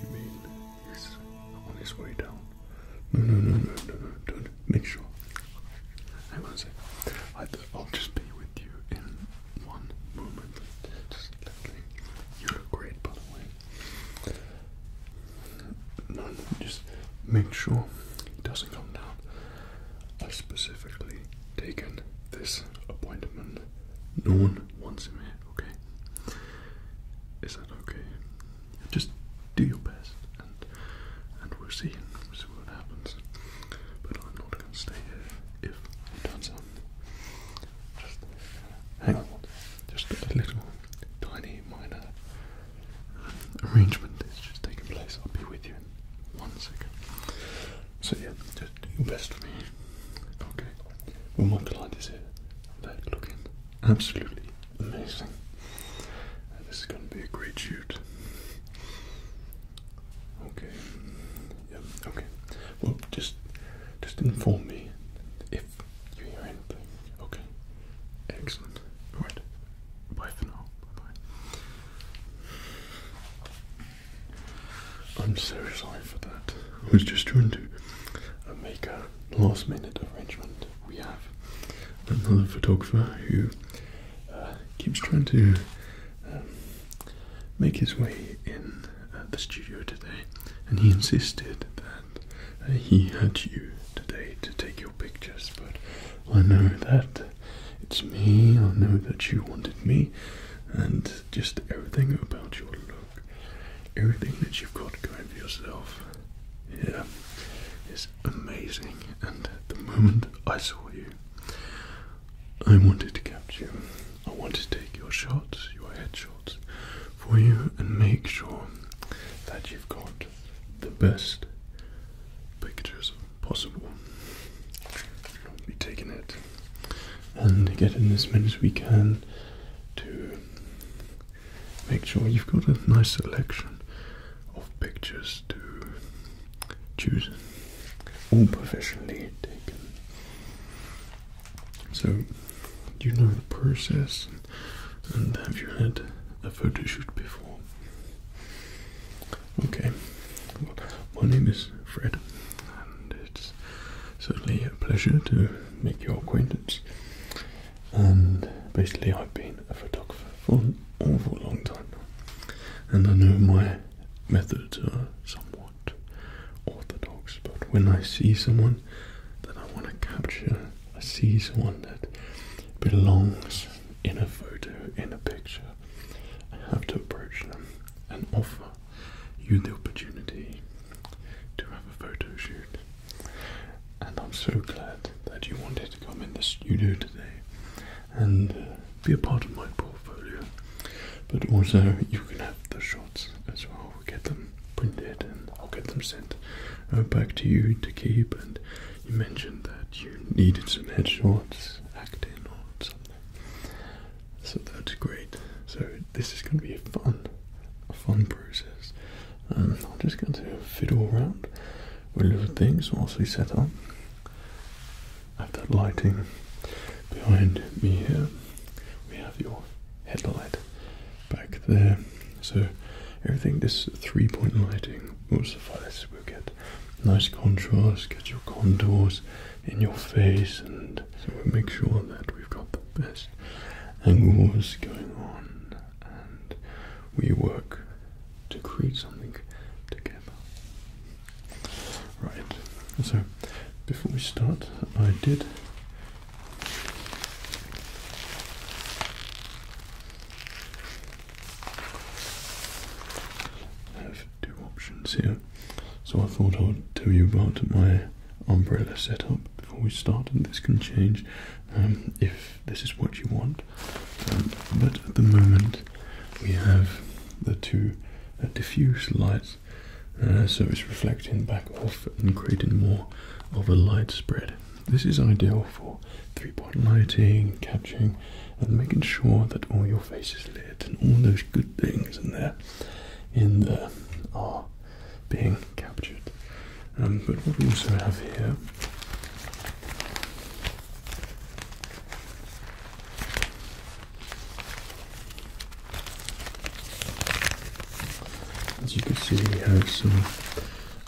you mean? He's on his way down. No, no, no, no, no, no. Don't. Make sure. Hang on a I, will just be with you in one moment. Just let me. You're great, by the way. No, no, just make sure he doesn't come down. I've specifically taken this appointment. No one wants him here, okay? Is that okay? Just do your best and and we'll see. We'll see what happens. But I'm not gonna stay here if he turns up. Just hang on. Just a little tiny minor arrangement is just taking place. I'll be with you one second. So yeah, just do your best for me. Okay. Well, my client is here. They're looking absolutely amazing. this is going to be a great shoot. Okay. Yeah. Okay. Well, just just inform me if you hear anything. Okay. Excellent. All right. Bye for now. Bye bye. I'm so sorry for that. I was just trying to uh, make a last minute arrangement. We have another photographer who uh, keeps trying to um, make his way in uh, the studio today, and he insisted that he had you today to take your pictures, but I know that it's me, I know that you wanted me, and just everything about your look, everything that you've got going for yourself, yeah, is amazing. And the moment I saw you, I wanted to capture you. I wanted to take your shots, your headshots, for you and make sure that you've got the best pictures possible. We'll be taking it and getting as many as we can to make sure you've got a nice selection of pictures to choose, all professionally taken. So, do you know the process, and have you had a photo shoot before? Okay, well, my name is Fred, and it's certainly a pleasure to make your acquaintance. And basically, I've been a photographer for an awful long time, and I know my methods are somewhat orthodox, but when I see someone that I want to capture, I see someone that belongs in a photo, in a picture, I have to approach them and offer you the opportunity to have a photo shoot. And I'm so glad that you wanted to come in the studio today and uh, be a part of my portfolio. But also, you can have the shots as well. We'll get them printed and I'll get them sent uh, back to you to keep. And you mentioned that you needed some headshots, acting, or so that's great. So this is going to be a fun, fun process. Um, I'm just going to fiddle around with little things whilst we set up. I have that lighting behind me here. We have your headlight back there. So everything, this three-point lighting will suffice. We'll get nice contrast, get your contours in your face, and make sure that we've got the best angles going on, and we work to create something together. Right, so before we start, I did. I have two options here. So I thought I would tell you about my umbrella setup before we start, and this can change um, if this is what you want. Um, but at the moment, we have the two uh, diffuse lights, uh, so it's reflecting back off and creating more of a light spread. This is ideal for three-point lighting, capturing and making sure that all your faces lit and all those good things in there in there are being captured. Um, but what we also have here as you can see, we have some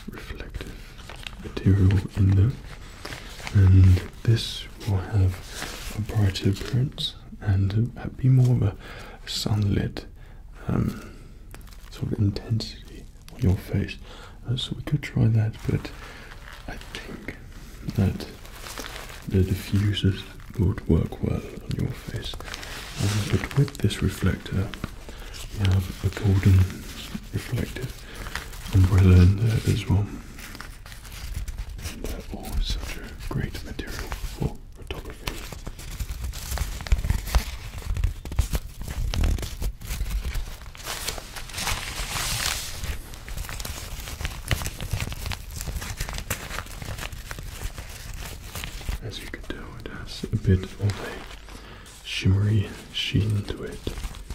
reflective material um, and this will have a brighter appearance and uh, be more of a sunlit um, sort of intensity on your face uh, so we could try that but I think that the diffusers would work well on your face um, but with this reflector we have a golden reflective umbrella in there as well and oh, that was such a great material for photography. As you can tell, it has a bit of a shimmery sheen to it,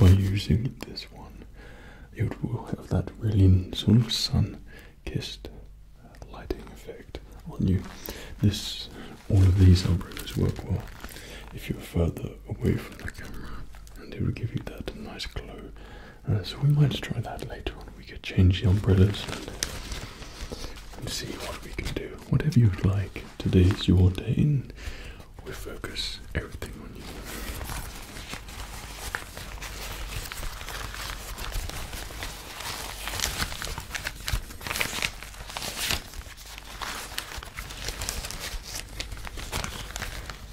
by using this one, you will have that really sort of sun-kissed lighting effect on you. This, all of these umbrellas work well if you're further away from the camera and it will give you that nice glow. Uh, so we might try that later on. We could change the umbrellas and, see what we can do. Whatever you'd like. Today is your day and we focus everything on you.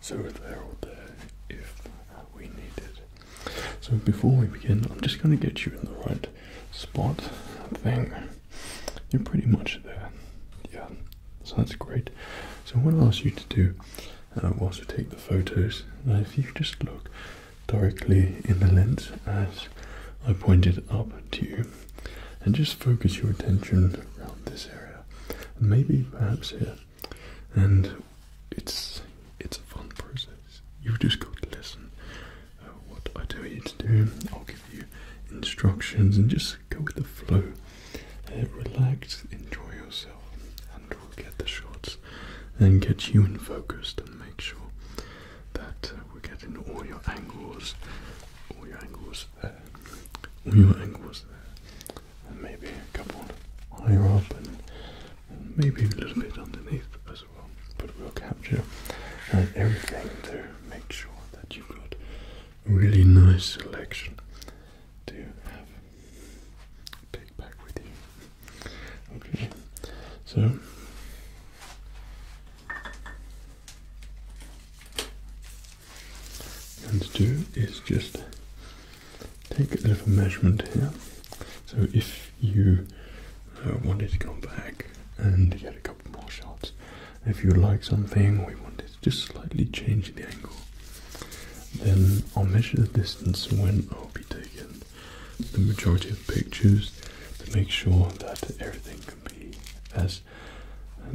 So we're all there if we need it. So before we begin, I'm just going to get you in the right spot thing. You're pretty much there. Yeah, so that's great. So what I'll ask you to do uh, whilst we take the photos, uh, if you just look directly in the lens as I pointed up to you and just focus your attention around this area and maybe perhaps here and it's it's a fun process you just got to listen uh, what I tell you to do I'll give you instructions and just go with the flow uh, relax enjoy yourself we'll get the shots and get you in focused and make sure that uh, we're getting all your angles, all your angles there, uh, all your angles uh, and maybe a couple higher up and, maybe a little bit underneath as well. But we'll capture everything to make sure that you've got really nice selection to have back with you. Okay, so and to do is just take a little measurement here. So if you uh, wanted to go back and get a couple more shots, if you like something, we wanted to just slightly change the angle. Then I'll measure the distance when I'll be taking the majority of pictures to make sure that everything can be as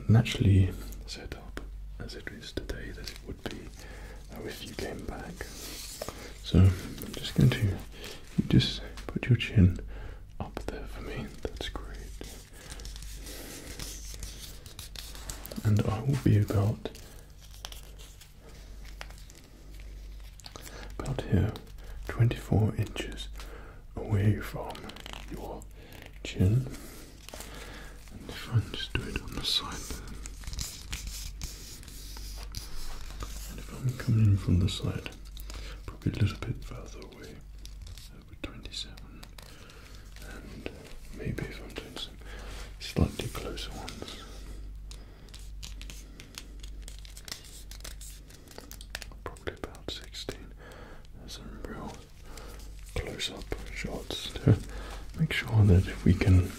naturally set up as it is today that it would be uh, if you came back. So I'm just going to just put your chin up there for me. That's great. And I will be about about here, 24 inches away from your chin. if I just do it on the side there. And if I'm coming in from the side, probably a little bit further away, over 27. And maybe if I'm doing some slightly closer ones. Probably about 16. some real close up shots to make sure that we can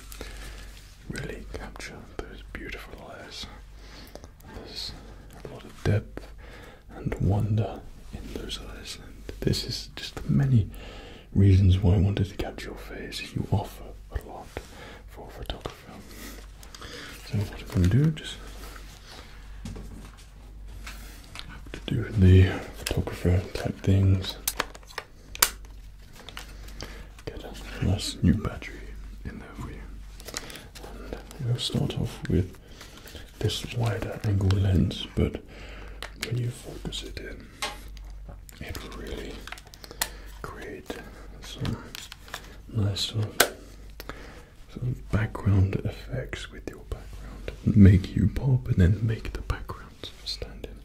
really capture those beautiful eyes. There's a lot of depth and wonder in those eyes, and this is just the many reasons why I wanted to capture your face. You offer a lot for photography. So what I'm going to do, just to do the photographer type things. Get a nice new battery in there for you. And we'll start off with this wider angle lens, but when you focus it in, it really create some nice sort of, sort of background effects with your background. Make you pop and then make the background sort stand in.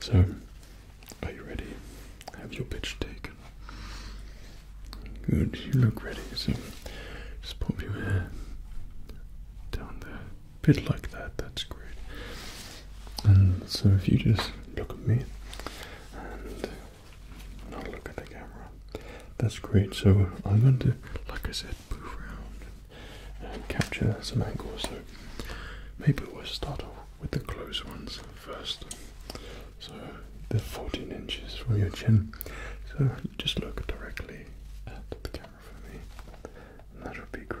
So, are you ready? Have your pitch taken. Good, you look ready. So, just pop your hair down there. A bit like that, that's great. And so, if you just look at me, not look at the camera. That's great. So I'm going to, like I said, move around and capture some angles. So maybe we'll start off with the close ones first. So the 14 inches from your chin. So just look directly at the camera for me, and that would be great.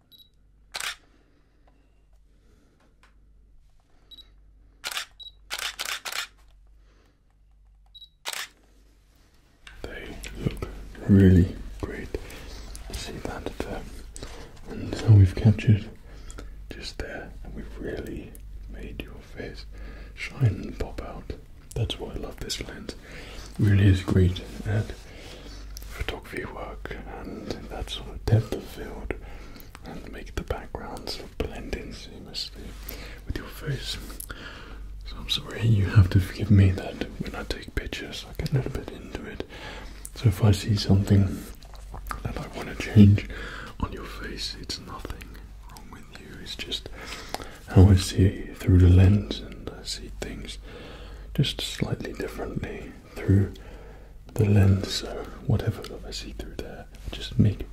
They look really great. See that there. Uh, and so we've captured just there, and we've really made your face shine and pop out. That's why I love this lens. really is great at photography work and that sort of depth of field and make the backgrounds blend in seamlessly with your face. So I'm sorry, you have to forgive me that when I take pictures, I get a little bit into it. So if I see something that I want to change on your face, it's nothing wrong with you. It's just how I see it through the lens uh, see things just slightly differently through the lens. So, whatever I see through there, just make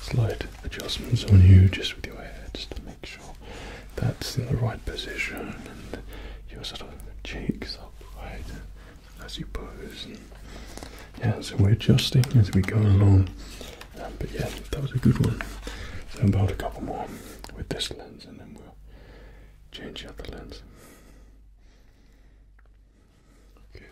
slight adjustments on you just with your head, just to make sure that's in the right position and your sort of cheeks upright as you pose. And yeah, so we're adjusting as we go along. Um, but yeah, that was a good one. So, about a couple more with this lens, and then we'll change the other lens. Okay.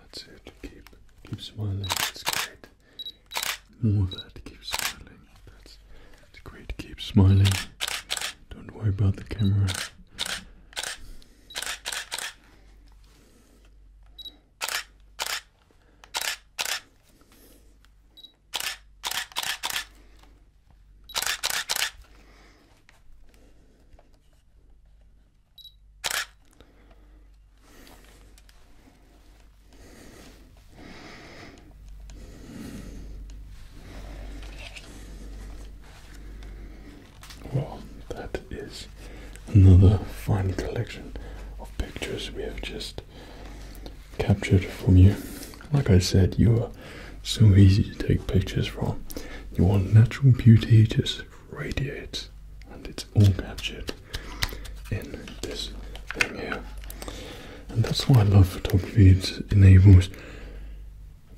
That's it. Keep keep smiling. It's great. More that. Keep smiling. That's it's great. Keep smiling. Don't worry about the camera. Well, that is another fine collection of pictures we have just captured from you. Like I said, you are so easy to take pictures from. You want natural beauty just radiates, and it's all captured in this thing here. And that's why I love photography, it enables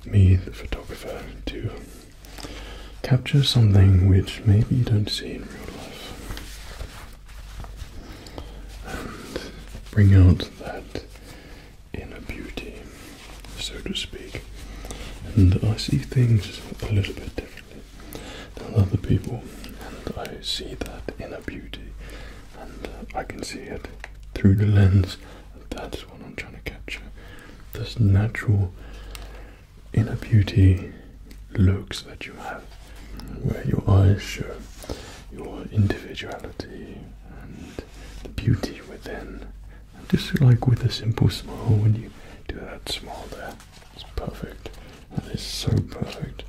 me, the photographer, to capture something which maybe you don't see in real life and bring out that inner beauty, so to speak. And I see things a little bit differently than other people, and I see that inner beauty, and I can see it through the lens. That's what I'm trying to capture. This natural inner beauty looks that you have, where your eyes show your individuality and the beauty within. just like with a simple smile, when you do that smile there, it's perfect. That is so perfect,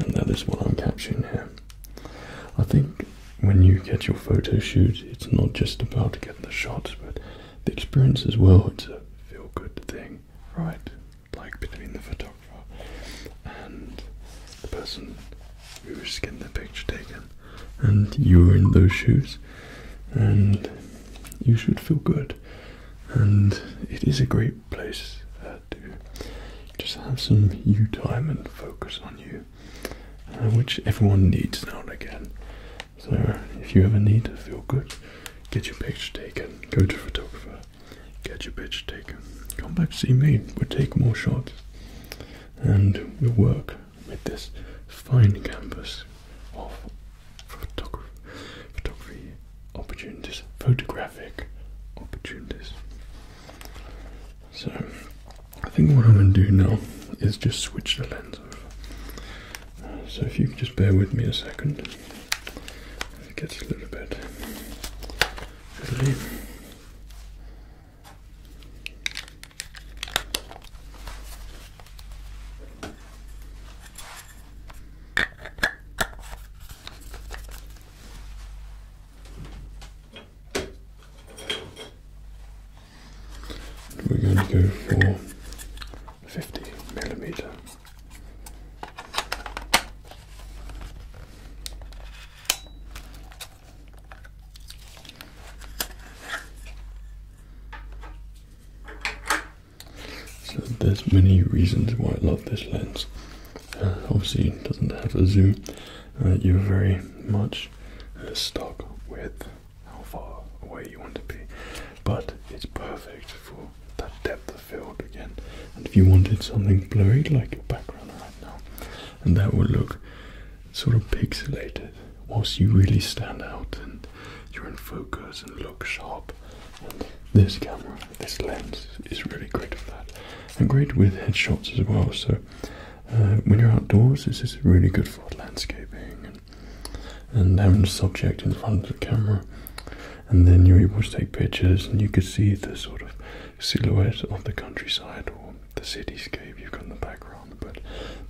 and that is what I'm capturing here. I think when you get your photo shoot, it's not just about getting the shots, but the experience as well. It's a feel good thing right, like between the photographer and the person who is was getting the picture taken, and you are in those shoes, and you should feel good. And it is a great place uh, to just have some you time and focus on you, uh, which everyone needs now and again. So if you ever need to feel good, get your picture taken, go to photographer, get your picture taken, come back see me, we'll take more shots and we'll work with this fine canvas of photography, photography opportunities, photographic opportunities. So I think what I'm going to do now is just switch the lens over. So if you can just bear with me a second, it gets a little bit We're going to go for 50 millimeter. So there's many reasons why I love this lens. Uh, obviously, it doesn't have a zoom. Uh, you're very much stuck with how far away you want to be, but it's perfect for that depth of field again. And if you wanted something blurry like your background right now, and that would look sort of pixelated, whilst you really stand out and you're in focus and look sharp. And this camera, this lens is really great for that, and great with headshots as well. So uh, when you're outdoors, this is really good for landscaping and having the subject in front of the camera and then you're able to take pictures and you could see the sort of silhouette of the countryside or the cityscape you've got in the background but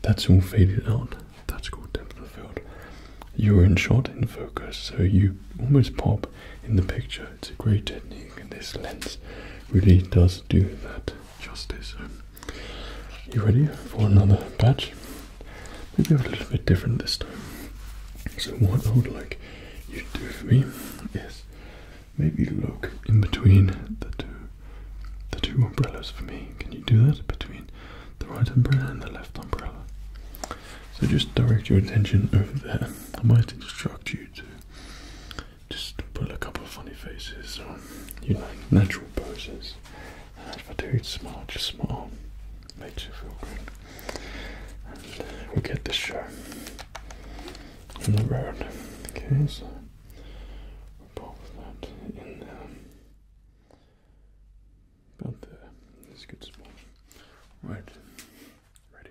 that's all faded out that's called depth of field you're in shot in focus so you almost pop in the picture it's a great technique and this lens really does do that justice so you ready for another batch maybe a little bit different this time. So what I would like you to do for me is maybe look in between the two the two umbrellas for me. Can you do that? Between the right umbrella and the left umbrella. So just direct your attention over there. I might instruct you to just pull a couple of funny faces or you know natural poses. And if I do small, just small. Makes you feel good. we'll get this show on the road. Okay, so we pop that in there. About there. That's good small. Right. Ready.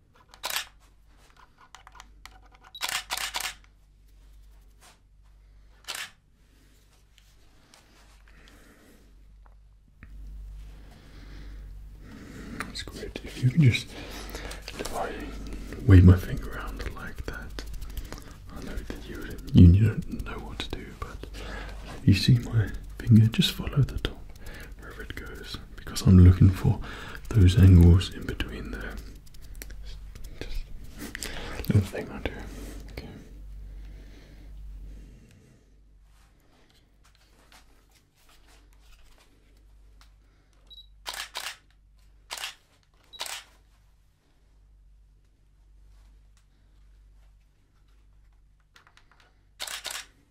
That's great. If you can just wave my finger around like that, I know that you you don't know what to do, but you see my finger, just follow the top wherever it goes because I'm looking for those angles in between there. little thing I do.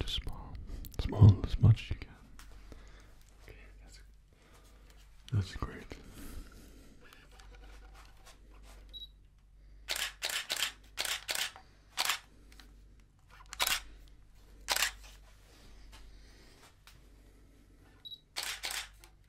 Just small, small as much as you can. Okay, that's that's great.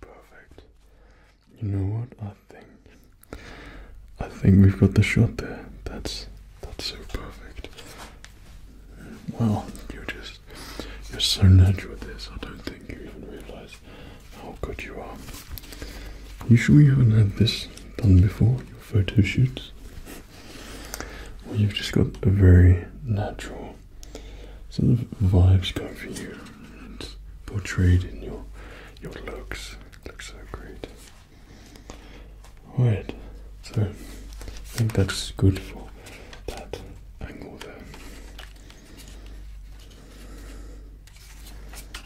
Perfect. You know what? I think I think we've got the shot there. That's that's so perfect. Well, you're just you're so natural with this. I don't think you even realize how oh, good you are. You sure you haven't had this done before, your photo shoots? Well, you've just got a very natural sort of vibes going for you. It's portrayed in your your looks. It looks so great. Alright, so I think that's good for that angle there.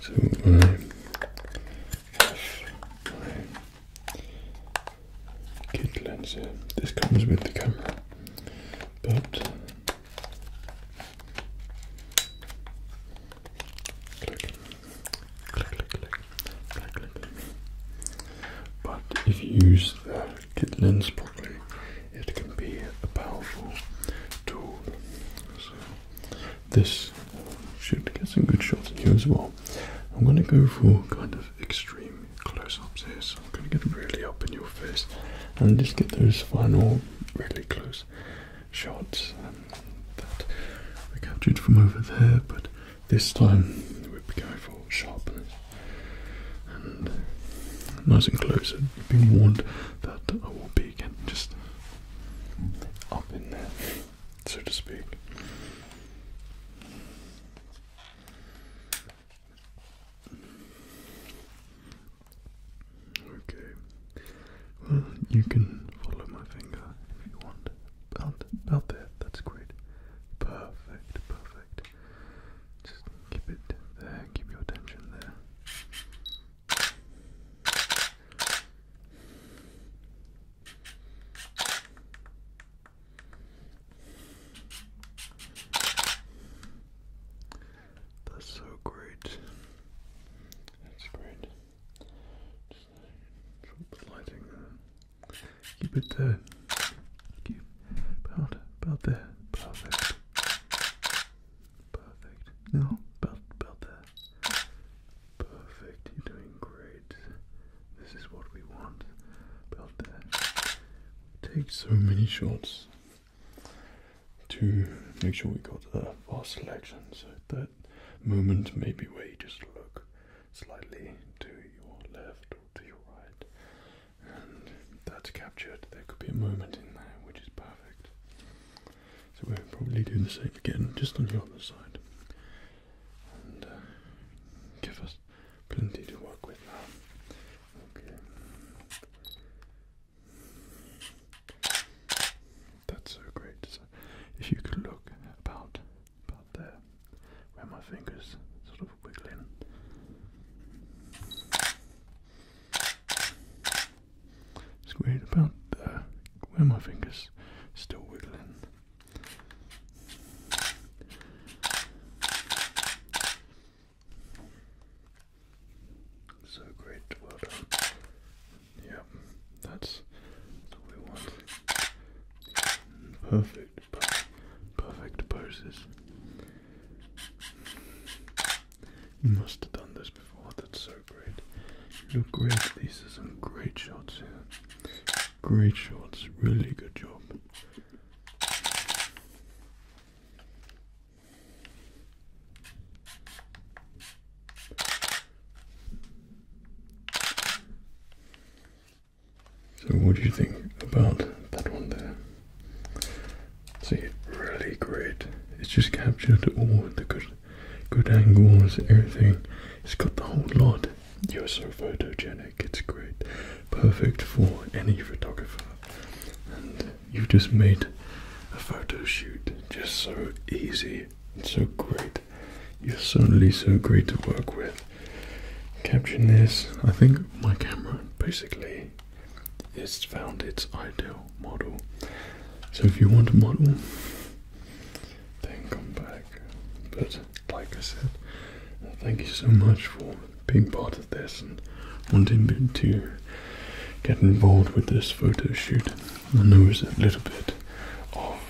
So my kit lens This comes with the camera, but But if you use the get lens properly, it can be a powerful tool. So this should get some good shots in you as well. I'm going to go for kind of extreme close-ups here, so I'm going to get really up in your face and just get those final really close shots um, that we captured from over there, but this time we are going for sharpness and nice and close. You've been warned that I will be again just up in there, so to speak. Okay. Well, you can follow my finger if you want. About, about there. That's great. Perfect. Perfect. Just keep it there, keep your attention there. That's so great. That's great. Just lighting there. Keep it there. Keep about about there. Perfect. Perfect. No, about, about there. Perfect. You're doing great. This is what we want. About there. Take so many shots to make sure we got a fast selection. So at that moment, maybe where you just look slightly to your left or to your right and that's captured, there could be a moment in there which is perfect. So we are probably doing the same again, just on the other side, and uh, give us plenty to work with now. Okay. That's so great. So if you could look about about there where my fingers sort of wiggle it's weird about uh, where my fingers still wiggling. So great, well done. Yep, that's, that's we want. Perfect, perfect poses. You must have done this before. That's so great. You Look great. These are some great shots here. Great shots. Really good job. So, what do you think about that one there? See, really great. It's just captured all the good, good angles, everything. It's got the whole lot. You're so photogenic. It's great, perfect for any photographer. you just made a photo shoot just so easy and so great. You're suddenly so great to work with. Caption this. I think my camera basically it's found its ideal model. So if you want a model, then come back. But like I said, uh, thank you so much for being part of this and wanting to get involved with this photo shoot. I know it's a little bit of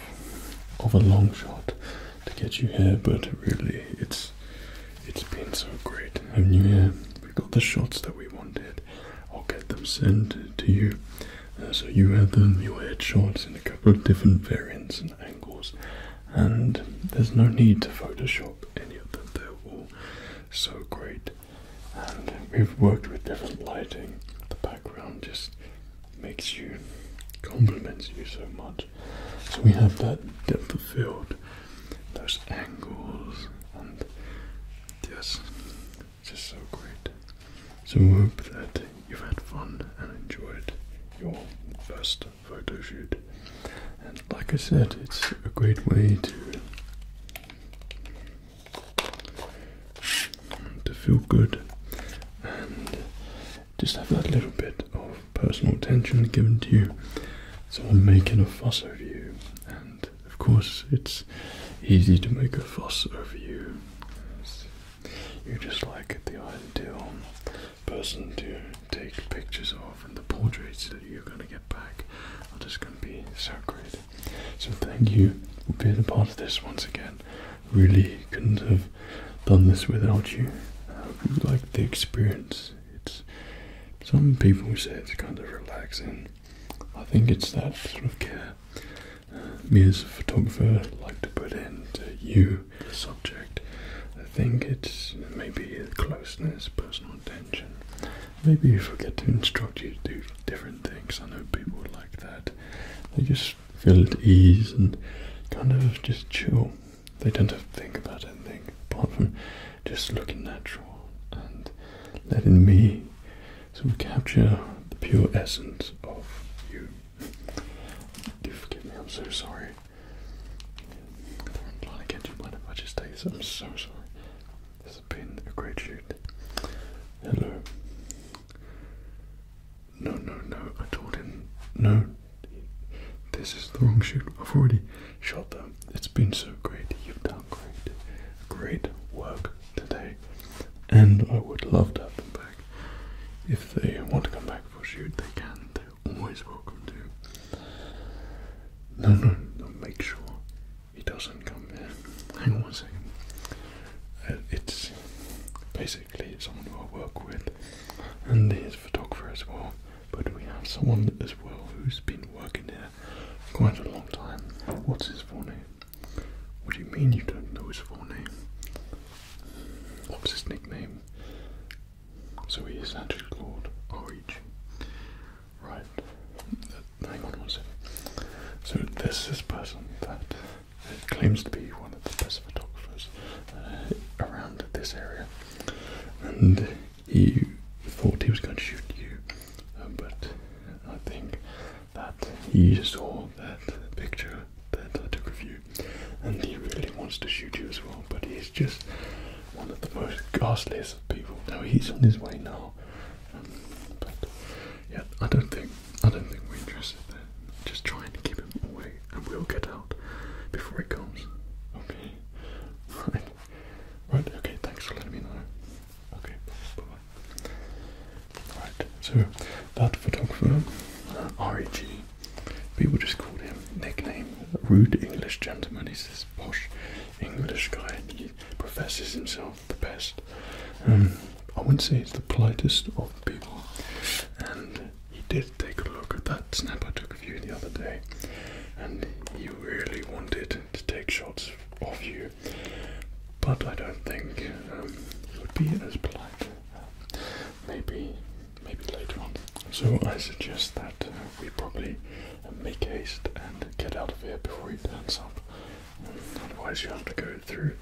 of a long shot to get you here, but really it's it's been so great having you here. We got the shots that we wanted. I'll get them sent to you. Uh, so you had them, your shots in a couple of different variants and angles, and there's no need to Photoshop any of them. they all so great, and we've worked with different lighting. The background just makes you compliments you so much. So we have that depth of field those angles and yes, just so great. So I hope that you've had fun and enjoyed your first photo shoot. And like I said, it's a great way to to feel good and just have that little bit of personal attention given to you. So I'm making a fuss over you and of course it's easy to make a fuss over you. You're just like the ideal person to take pictures of, and the portraits that you're going to get back are just going to be so great. So, thank you for being a part of this once again. Really couldn't have done this without you. I hope you liked the experience it's some people say it's kind of relaxing. I think it's that sort of care uh, me as a photographer like to put into you, the subject. I think it's maybe closeness, personal attention. Maybe you forget to instruct you to do different things. I know people like that. They just feel at ease and kind of just chill. They don't have to think about anything apart from just looking natural and letting me sort capture the pure essence of you. Do forgive me, I'm so sorry. I'm trying I'm so sorry. This has been a great shoot. Hello. No, no, no. I told him, no, this is the wrong shoot. I've already shot them. It's been so great. You've done great, great work today, and I would love to have them back. If they want to come back for shoot, they can. They're always welcome to. No, no, no. Make sure he doesn't come here. Hang on one second. Uh, it's basically someone who I work with, and his photographer as well. But we have someone as well who's been working there quite a long time. What's his full name? What do you mean you don't know his full name? What's his nickname? So he's is actually called R.E.G. Right. Uh, hang on one second. So there's this person that uh, claims to be one of the best photographers uh, around this area. And he thought he was going to shoot you, um, but I think that he saw that picture that I took of you, and he really wants to shoot you as well. But he's just one of the most ghastliest people. Now he's on his way now, um, but yeah, I don't think I don't think we're interested Just trying to keep him away, and we'll get out before he comes. Okay, right. Right, okay, thanks for letting me know. Okay, bye bye. Right, so that photographer, uh, R. G. people just called him nickname Rude English Gentleman. He's this posh English guy he professes himself the best. Um, I wouldn't say he's the politest of people. And he did take a look at that snap I took you the other day, and you really wanted to take shots of you, but I don't think um, it would be as polite. Um, maybe, maybe later on. So I suggest that uh, we probably uh, make haste and get out of here before he turns up. Um, otherwise, you have to go through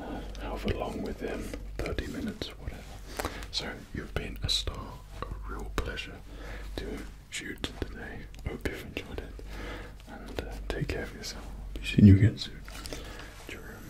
uh, however long with him, 30 minutes, whatever. So, you've been a star, a real pleasure to shoot today. Hope you've enjoyed it. And uh, take care of yourself. Be seeing you again soon. Cheerio.